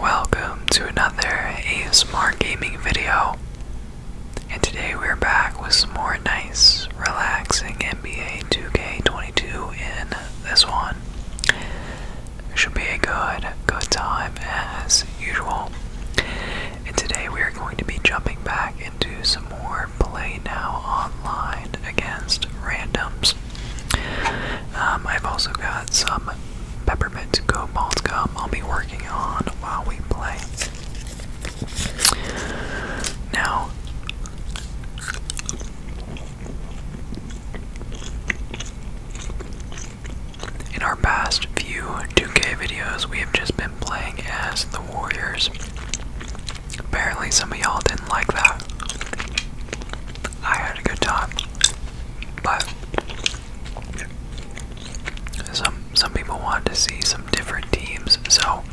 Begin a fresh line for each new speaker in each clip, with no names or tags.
Welcome to another ASMR gaming video. And today we're back with some more nice, relaxing NBA 2K22 in this one. Should be a good, good time as usual. And today we are going to be jumping back into some more play now online against randoms. Um, I've also got some peppermint cobalt gum I'll be working on while we play. Now, in our past few 2K videos, we have just been playing as the Warriors. Apparently, some of y'all didn't like that. I had a good time. But some some people want to see some different teams, so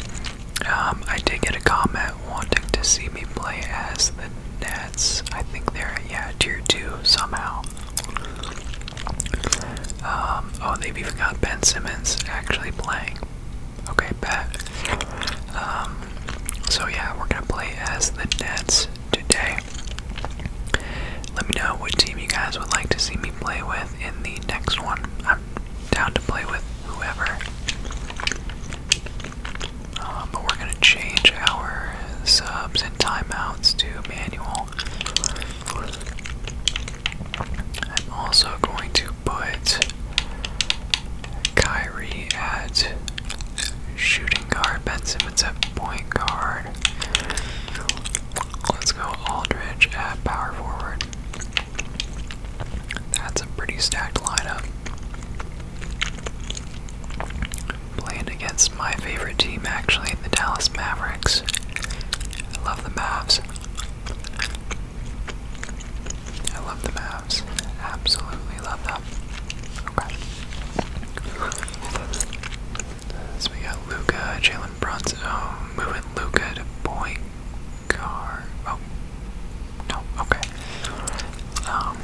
um, I did get a comment wanting to see me play as the Nets. I think they're yeah tier two somehow. Um, oh, they've even got Ben Simmons actually playing. Okay, bet. Um, so yeah, we're gonna play as the Nets today. Let me know which team you guys would like to see me play with in the next one. I'm down to play with whoever. Um, but we're going to change our subs and timeouts to manual. I'm also going to put Kyrie at shooting guard. Ben Simmons at point guard. Let's go Aldridge at power forward. That's a pretty stacked lineup. Playing against my favorite team, actually, the Dallas Mavericks. I love the Mavs. I love the Mavs. Absolutely love them. Okay. So we got Luca, Jalen Brunson. Oh, moving Luca to point guard. Oh, no. Okay. Um.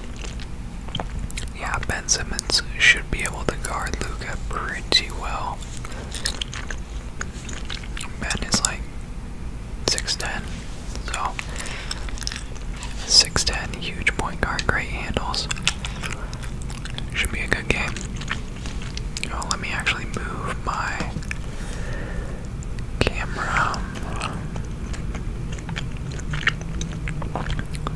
Yeah, Ben Simmons should be able to guard Luca pretty well. Ben is like six ten, so 6'10, huge point guard, great handles. Should be a good game. Oh, let me actually move my camera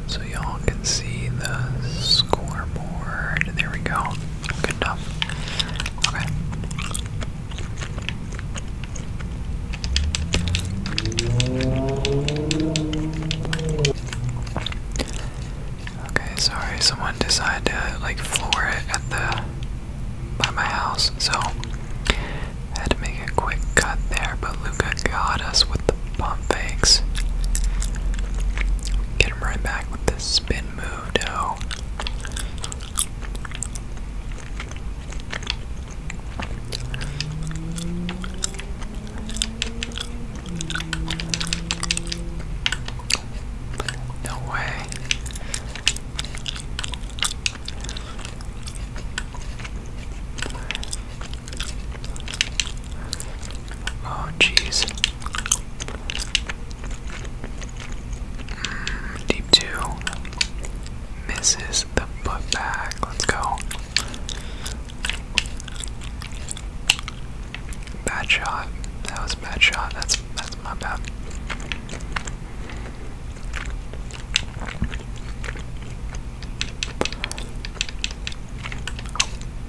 so y'all can see the scoreboard. There we go. Good enough. Okay. Okay, sorry, someone decided to like floor it at the by my house, so I had to make a quick cut there, but Luca got us with the pump fakes. Get him right back with the spin move though. No way. Oh, jeez. Mm, deep two misses the putback. Let's go. Bad shot. That was a bad shot. That's that's my bad.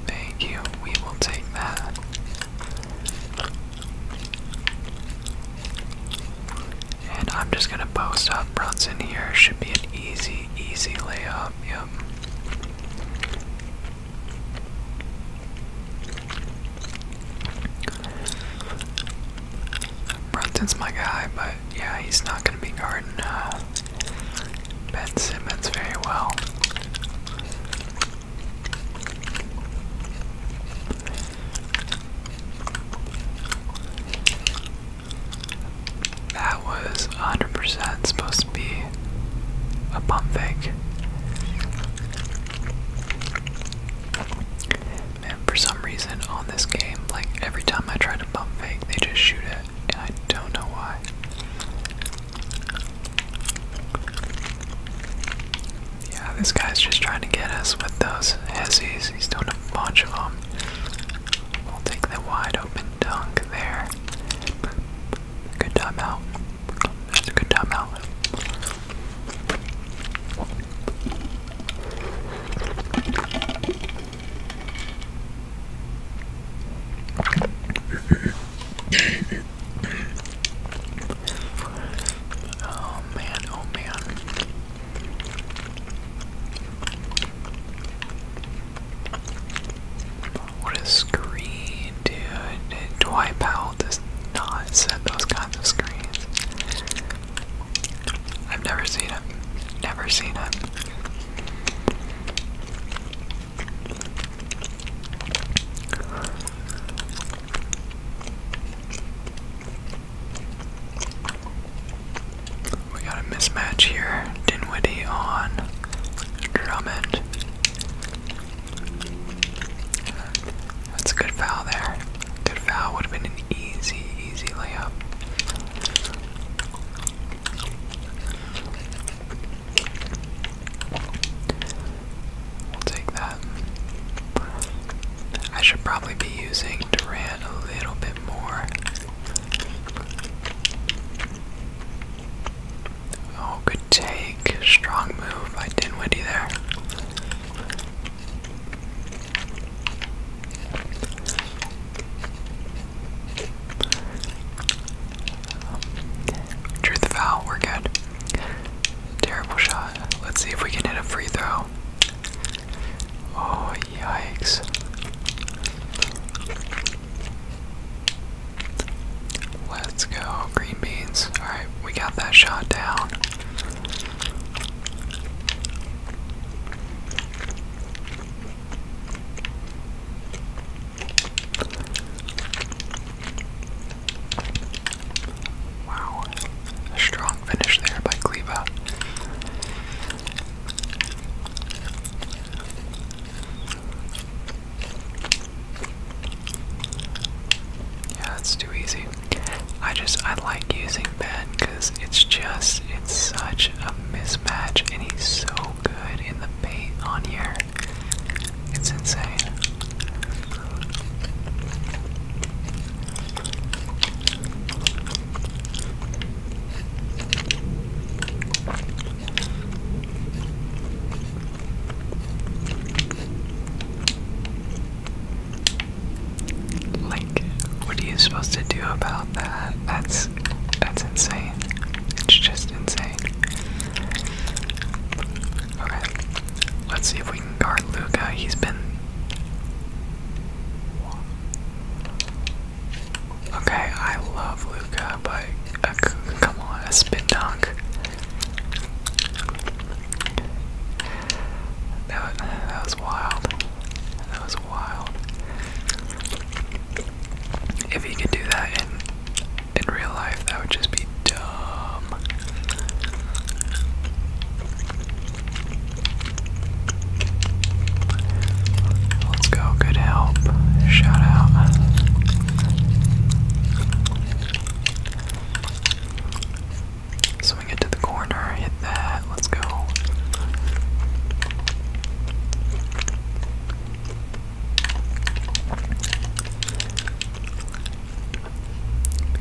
Thank you. We will take that. And I'm just gonna post up Brunson here. Should be an easy easy, layup. Yep. Brunton's my guy, but yeah, he's not going to be guarding uh, Ben Simmons very well. That was 100% supposed to be a pump fake. and for some reason on this game, like every time I try to pump fake, they just shoot it, and I don't know why. Yeah, this guy's just trying to get us with those hessies. He's doing a bunch of them. We'll take the wide open dunk there. Good time That's a good time oh man, oh man. What is a screen, dude. Dwight Powell does not set those kinds of screens. I've never seen him. Never seen him. We got a mismatch here. Dinwiddie on Drummond. That's a good foul there. Good foul would have been an easy, easy layup. We'll take that. I should probably be using Durant a little bit more. Oh, good take. Strong move by Dinwiddie there. Drew foul, we're good. Terrible shot. Let's see if we can hit a free throw. Oh, yikes. Let's go, green beans. Alright, we got that shot down. Wow, strong finish there by Kleba. Yeah, that's too easy. I just, I like using Ben because it's just, it's such a mismatch and he's so good in the paint on here. It's insane. Like, what are you supposed to do about that? That's that's insane. It's just insane. Okay, let's see if we can guard Luca. He's been Okay, I love Luca, but uh, come on, a spin dunk. That was, that was wild. That was wild. If he could do that in in real life, that would just be dumb. Let's go. Good help. Shout out. Swing it the corner. Hit that. Let's go.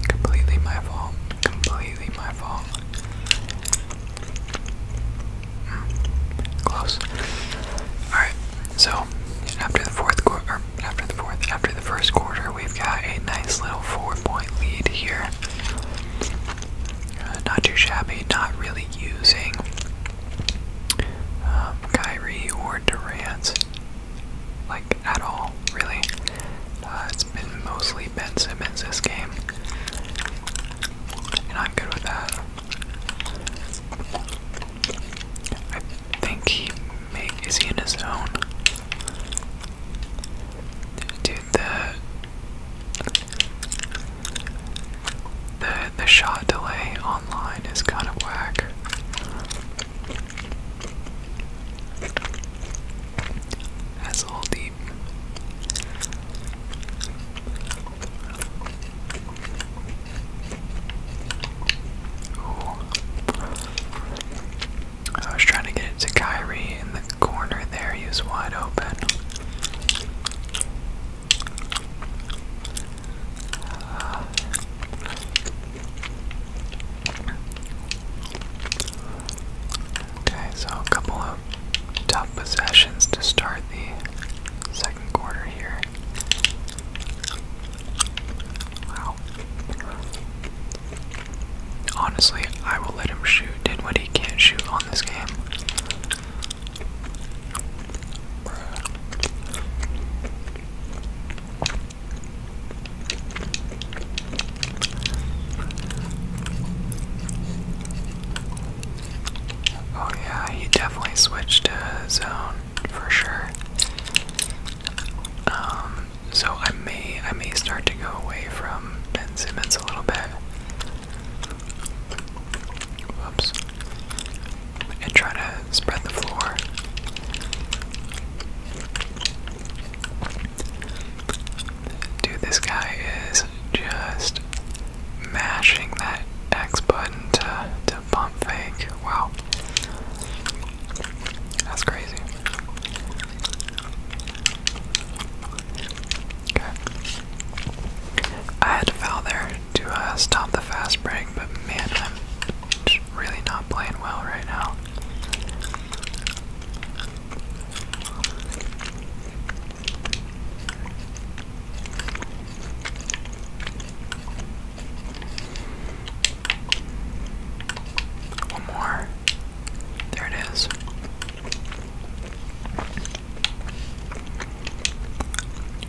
Completely my fault. Completely my fault. Close. Alright, so after the fourth quarter, after the fourth, after the first quarter, we've got a nice little four-point lead here. Uh, not too shabby, not really using um, Kyrie or Durant like at all, really. Uh, it's been mostly Ben Simmons this game, and I'm good with that. I think he is he in his own? Dude, the the the shot delay online is kind of whack. That's a little deep. I was trying to get it to Kyrie in the corner there. He was wide open. Okay, so a couple of tough possessions to start the quarter here. Wow. Honestly, I will let him shoot. Did what he can't shoot on this game. Oh yeah, he definitely switched to zone for sure. Um, so I may I may start to go away from Ben Simmons a little bit. Whoops. And try to spread the floor. Dude, this guy is just mashing that X button uh, to, pump fake. Wow. That's crazy. Okay. I had to foul there to uh, stop the fast break, but man, I'm really not playing well right now. One more. There it is.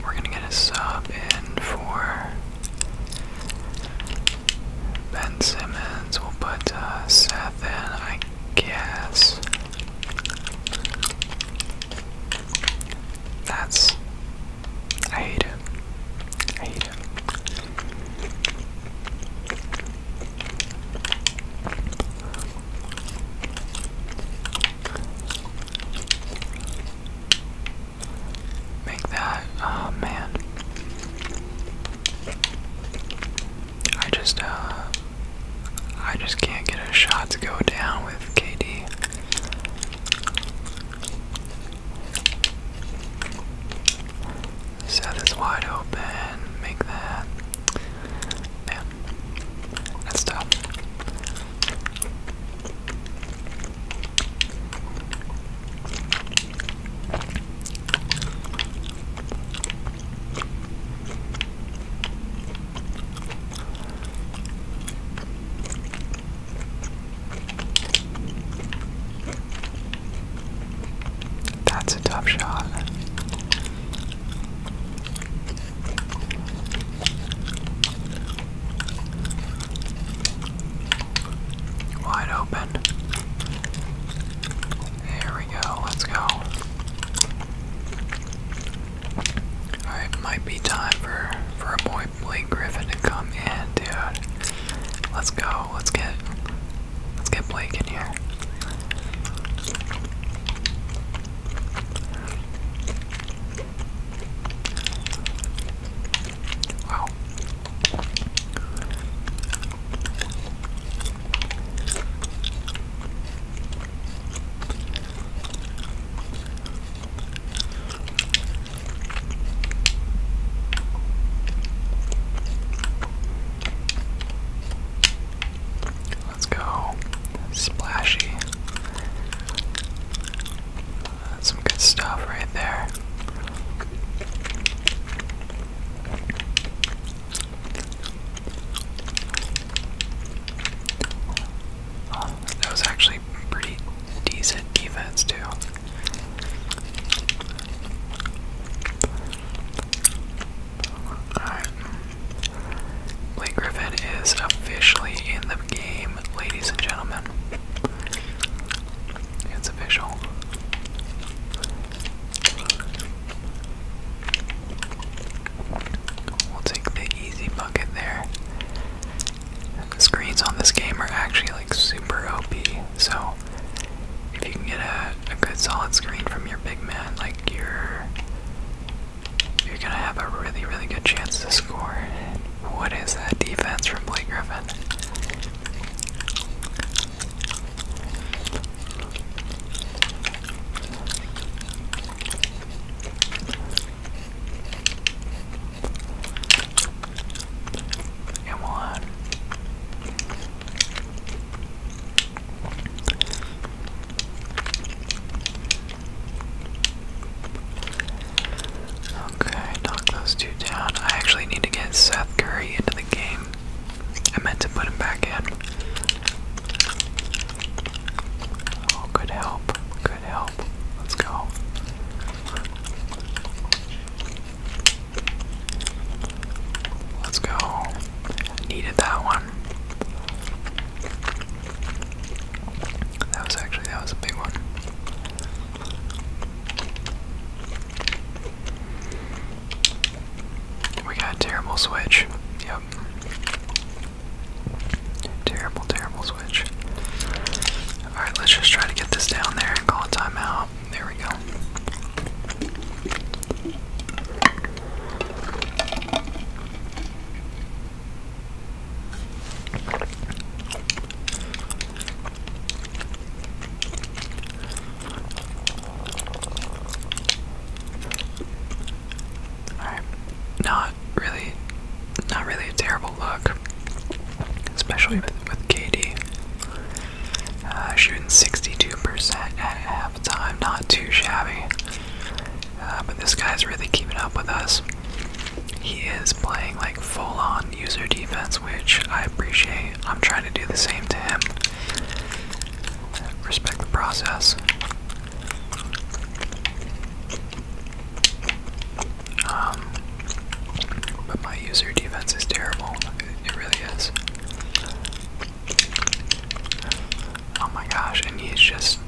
We're gonna get a sub in for Ben Simmons. We'll put uh, Seth in, I guess. That's. I hate it. I hate it. Make that, oh man. I just, uh, I just can't get a shot to go down with KD. Set is wide open. Make that. Man, that's tough. That's a tough shot. Wide open. There we go. Let's go. Alright, might be time for, for a boy Blake Griffin to come in, dude. Let's go. Let's get let's get Blake in here. Wow. Let's go. Splashy. That's some good stuff right there. that was actually actually pretty decent defense, too. Alright. Blake Griffin is officially in the game, ladies and gentlemen. It's official. We'll take the easy bucket there. The screens on this game are actually like super OP, so if you can get a, good solid screen from your big man, like you're you're gonna have a really really good chance to score. What is that defense from Blake Griffin? Come on. Okay, knock those two down. I actually need to get Seth Curry into the game. I meant to put him back in. Oh, good help. Let's go. Let's go. Needed that one. That was actually that was a big one. We got a terrible switch. Yep. Terrible, terrible switch. Alright, let's just try to get this down there and call a timeout. There we go. Alright. Not really not really a terrible look. Especially with, with KD. Uh, shooting 62% at halftime, not too shabby. Uh, but this guy's really keeping up with us. He is playing like full on user defense, which I appreciate. I'm trying to do the same to him. Respect the process. Um, but my user defense is terrible. It, really is. Oh my gosh, and he's just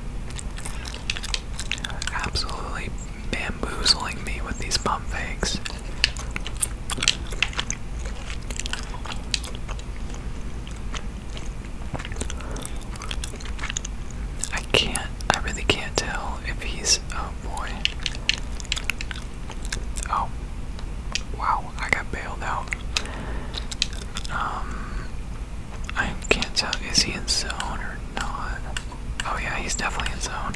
absolutely bamboozling me with these pump fakes. I can't, I really can't tell if he's, oh boy. Oh, wow, I got bailed out. Um, I can't tell, is he in zone or not? Oh yeah, he's definitely in zone.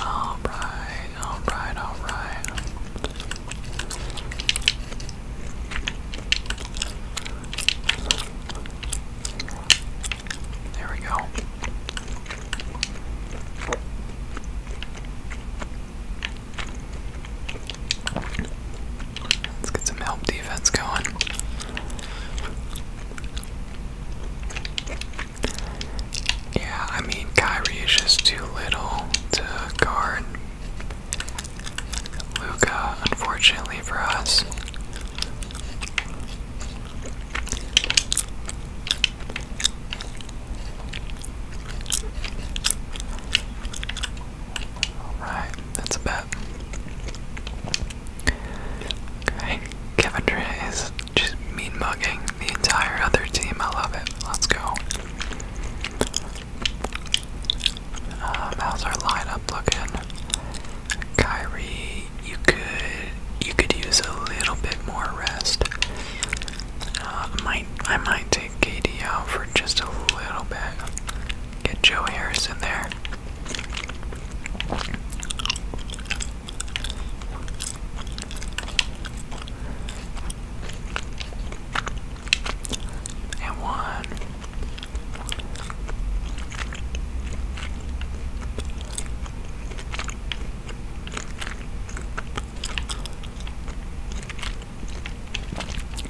Alright, alright, alright. There we go. Let's get some help defense going. Yeah, I mean, Kyrie is just too little to guard Luca, unfortunately for us. Alright, that's a Okay, Kevendra is just mean mugging the entire other team. I love it. Let's go. Um, how's our lineup looking? Kyrie, you could you could use a little bit more rest. Uh, might I might take KD out for just a little bit. Get Joe Harris in there. And one.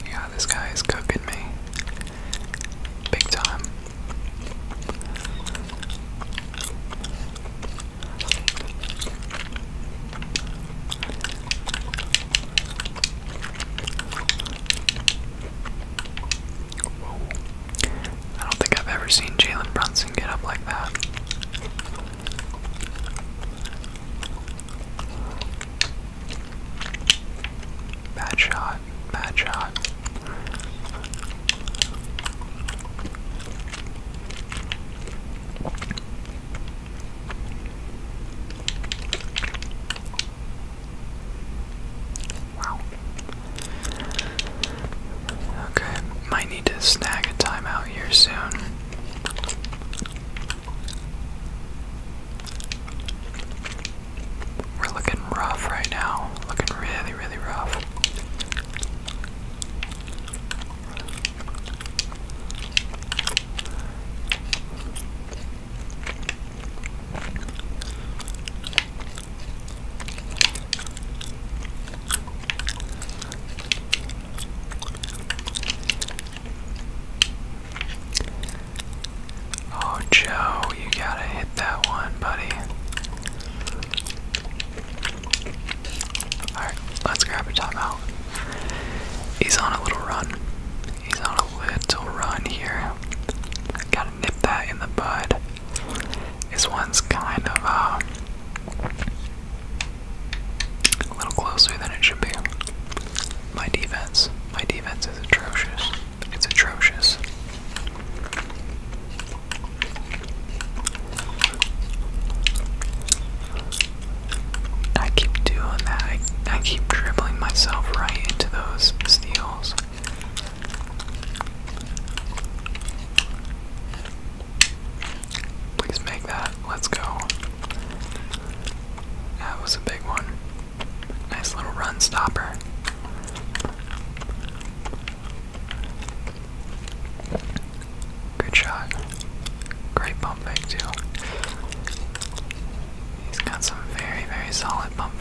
Yeah, this guy is cooking me. Big time. I don't think I've ever seen Jalen Brunson get up like that. Bad shot. Bad shot. Okay, might need to snag a timeout here soon. We're looking rough right now. Looking really, really rough. Oh, Joe, you gotta hit that one, buddy. Alright, let's grab a timeout. He's on a little run. He's on a little run here. Gotta nip that in the bud. This one's kind of uh, a little closer than it should be. My defense. My defense is atrocious. It's atrocious. I keep doing that. I, I keep dribbling myself right into those steals. Please make that. Let's go. That was a big one. Nice little run stopper. Good shot. Great bumping too. He's got some very, very solid pump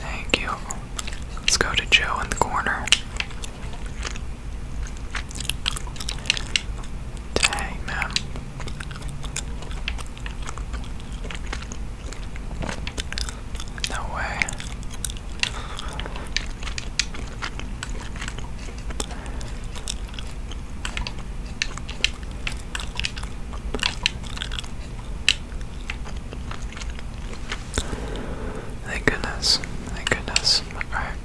Thank you. Let's go to Joe in the corner. Dang, No way. Thank goodness. Thank goodness. Alright.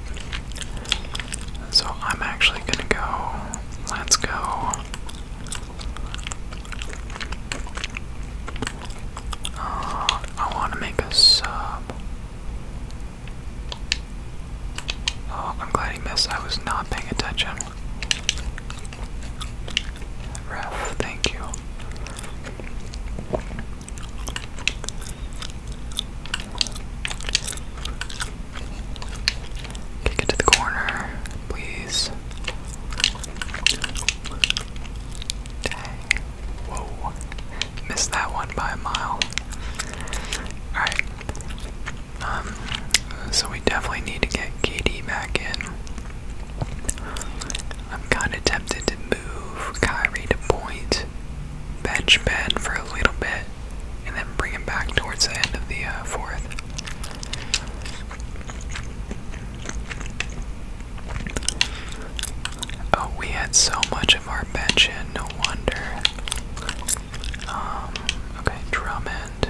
So I'm actually gonna go. Let's go. Uh, I want to make a sub. Oh, I'm glad he missed. I was not paying attention. Ref, thank you. Kick to the corner, please. Dang. Whoa. Missed that one by a mile. Alright. Um, so we definitely need to get KD back in. I'm kind of tempted to move Kyrie to point, bench Ben for a little bit, and then bring him back towards the end of the uh, fourth. Oh, we had so much of our bench in, no wonder. Um, okay, Drummond.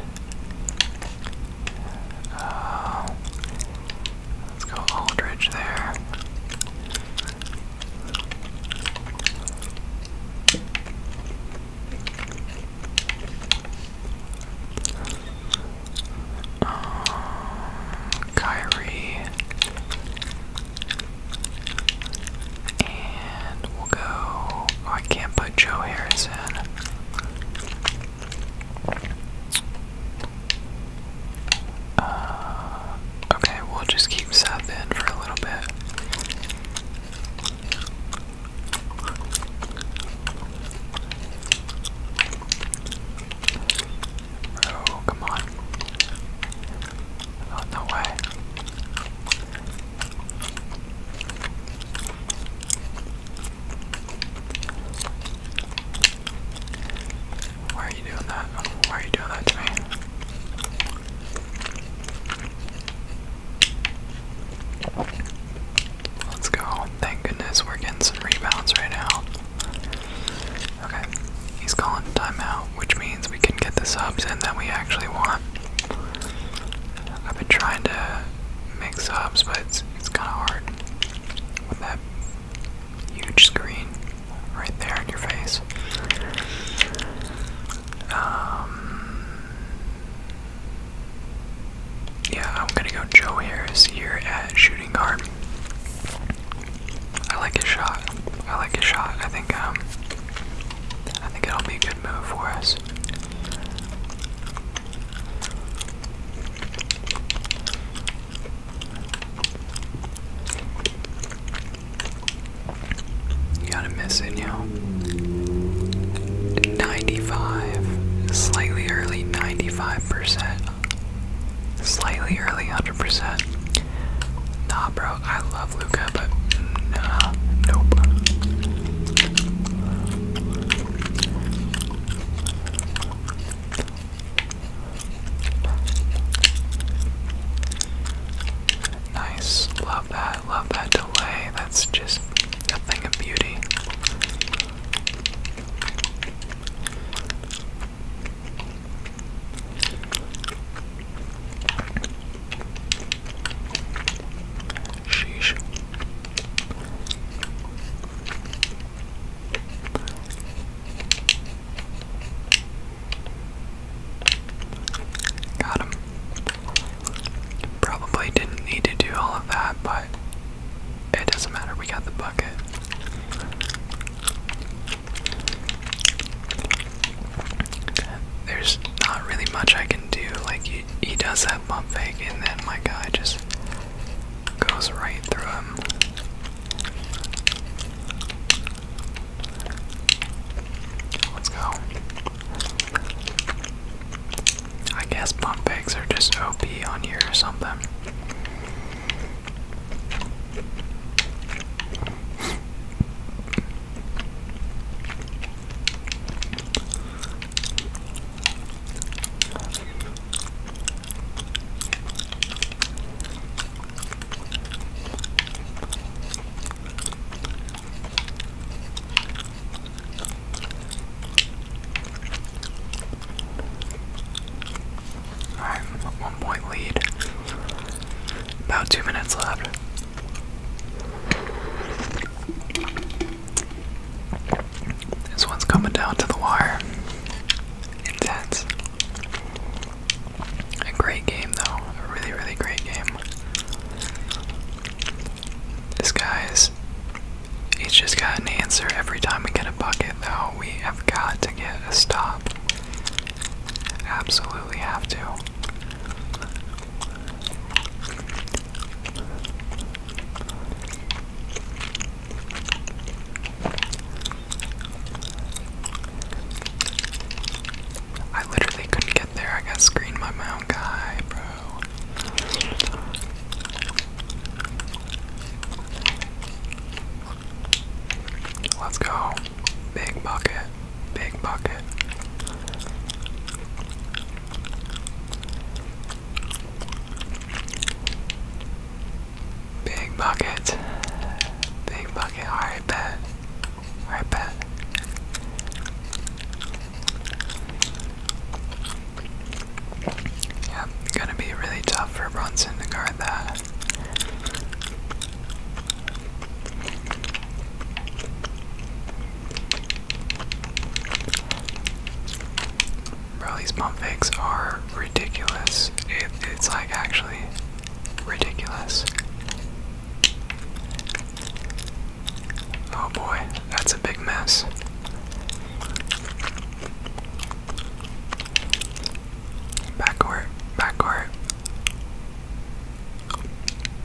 Uh, let's go Aldridge there. Um, Kyrie. And we'll go. Oh, I can't put Joe Harris uh, okay, we'll just keep sapping for a little bit. Oh, come on. Oh, no way. Why are you doing that? Why are you doing that to me? Let's go. Thank goodness we're getting some rebounds right now. Okay, he's calling timeout, which means we can get the subs and that we actually want. I've been trying to make subs, but it's, it's kind of hard that huge screen right there in your face. Um, yeah, I'm gonna go Joe Harris here at shooting guard. I like his shot. I like his shot. I think um, I think it'll be a good move for us. You gotta miss it, you 95, slightly early 95%, slightly early 100%. Nah, bro, I love Luca, but nah, nope. Nice. Love that. Love that delay. That's just a thing of beauty. Sheesh. Got him. Probably didn't need to do all of that, but it doesn't matter. We got the bucket. There's not really much I can do. Like, he, he does that bump fake, and then my guy just Goes right through him. Let's go. I guess pump eggs are just OP on here or something. Alright, one point lead. About two minutes left. This one's coming down to the wire. Intense. A great game, though. A really, really great game. This guy's. He's just got an answer every time we get a bucket, though. We have got to get a stop. Absolutely have to. I literally couldn't get there. I got screened by my own guy, bro. Let's go. Big bucket. Big bucket. Big bucket. Big bucket. Alright, bet. Alright, bet. Yeah, gonna be really tough for Brunson to guard that. Bro, these pump fakes are ridiculous. it's like actually ridiculous. Oh boy, that's a big mess. Backcourt, backcourt.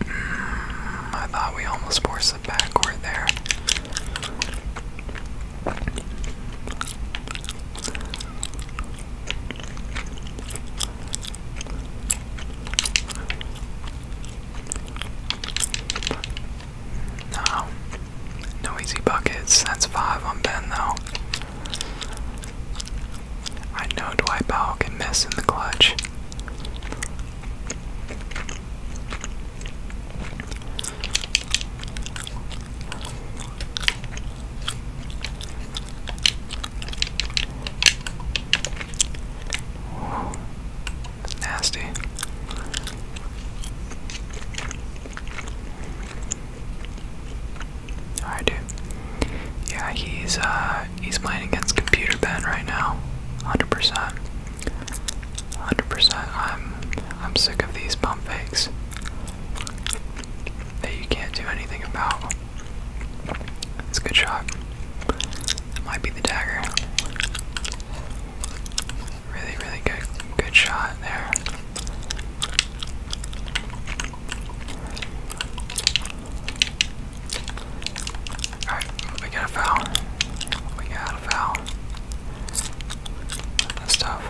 Mm, I thought we almost forced the backcourt there. No. No easy buckets. That's five on Ben, though. I know Dwight Powell can miss in the clutch. Nasty. Alright dude. Yeah, he's uh he's playing against computer Ben right now. 100%. 100%. I'm I'm sick of these pump fakes that you can't do anything about. It's a good shot. might be the dagger. Really, really good good shot there. Alright, we got a foul. We got a foul stuff.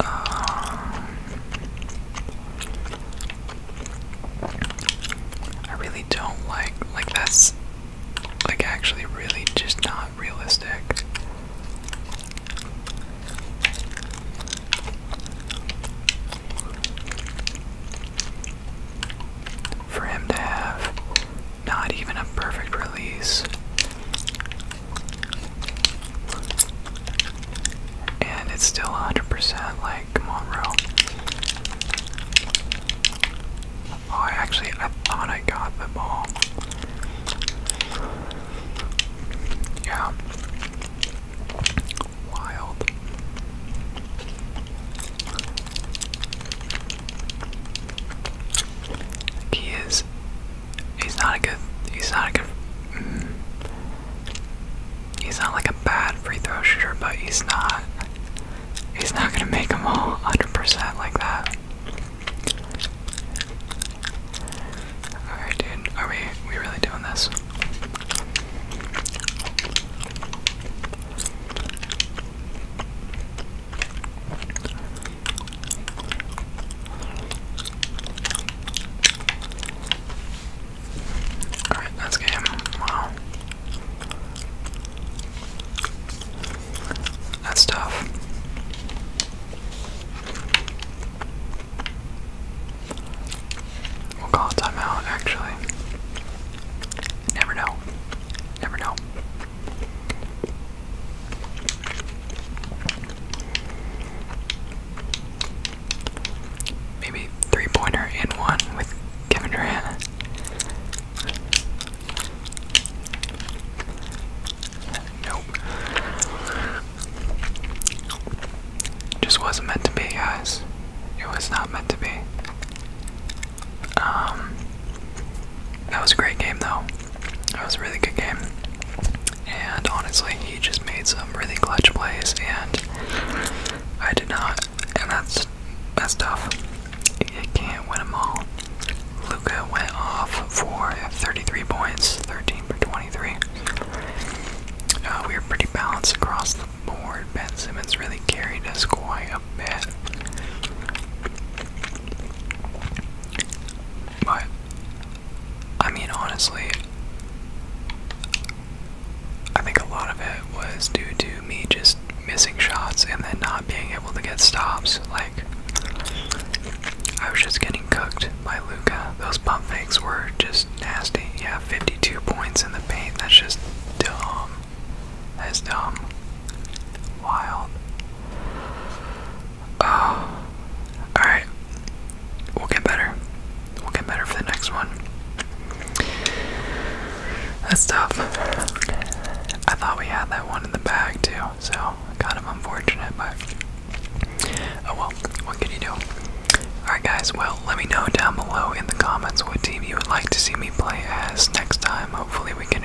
Um, I really don't like like that's like actually really just not realistic. For him to have not even a perfect release. And it's still 100%, like, come Oh, I actually, I thought I got the ball. Yeah. Wild. He is. He's not a good. He's not a good. Mm. he's not like a bad free throw shooter, but he's not. He's not gonna make them all 100% like that. Alright, dude. Are we, we really doing this? Alright, that's game. Wow. That's tough. We'll call a timeout, actually. Never know. Never know. Maybe three pointer in one with Kevin Durant. Nope. Just wasn't meant to be, guys. It was not meant to be. Um, that was a great game, though. That was a really good game. And honestly, he just made some really clutch plays, and I did not. And that's that's tough. You can't win them all. Luca went off for 33 points, 13 for 23. Uh, we were pretty balanced across the board. Ben Simmons really carried us quite a bit. But I mean, honestly, I think a lot of it was due to me just missing shots and then not being able to get stops. Like, I was just getting cooked by Luca. Those pump fakes were just nasty. Yeah, 52 points in the paint. That's just dumb. That's dumb. Wild. Oh. Alright. We'll get better. We'll get better for the next one. That's tough. I thought we had that one in the bag too, so kind of unfortunate, but oh well, what can you do? Alright guys, well let me know down below in the comments what team you would like to see me play as next time. Hopefully we can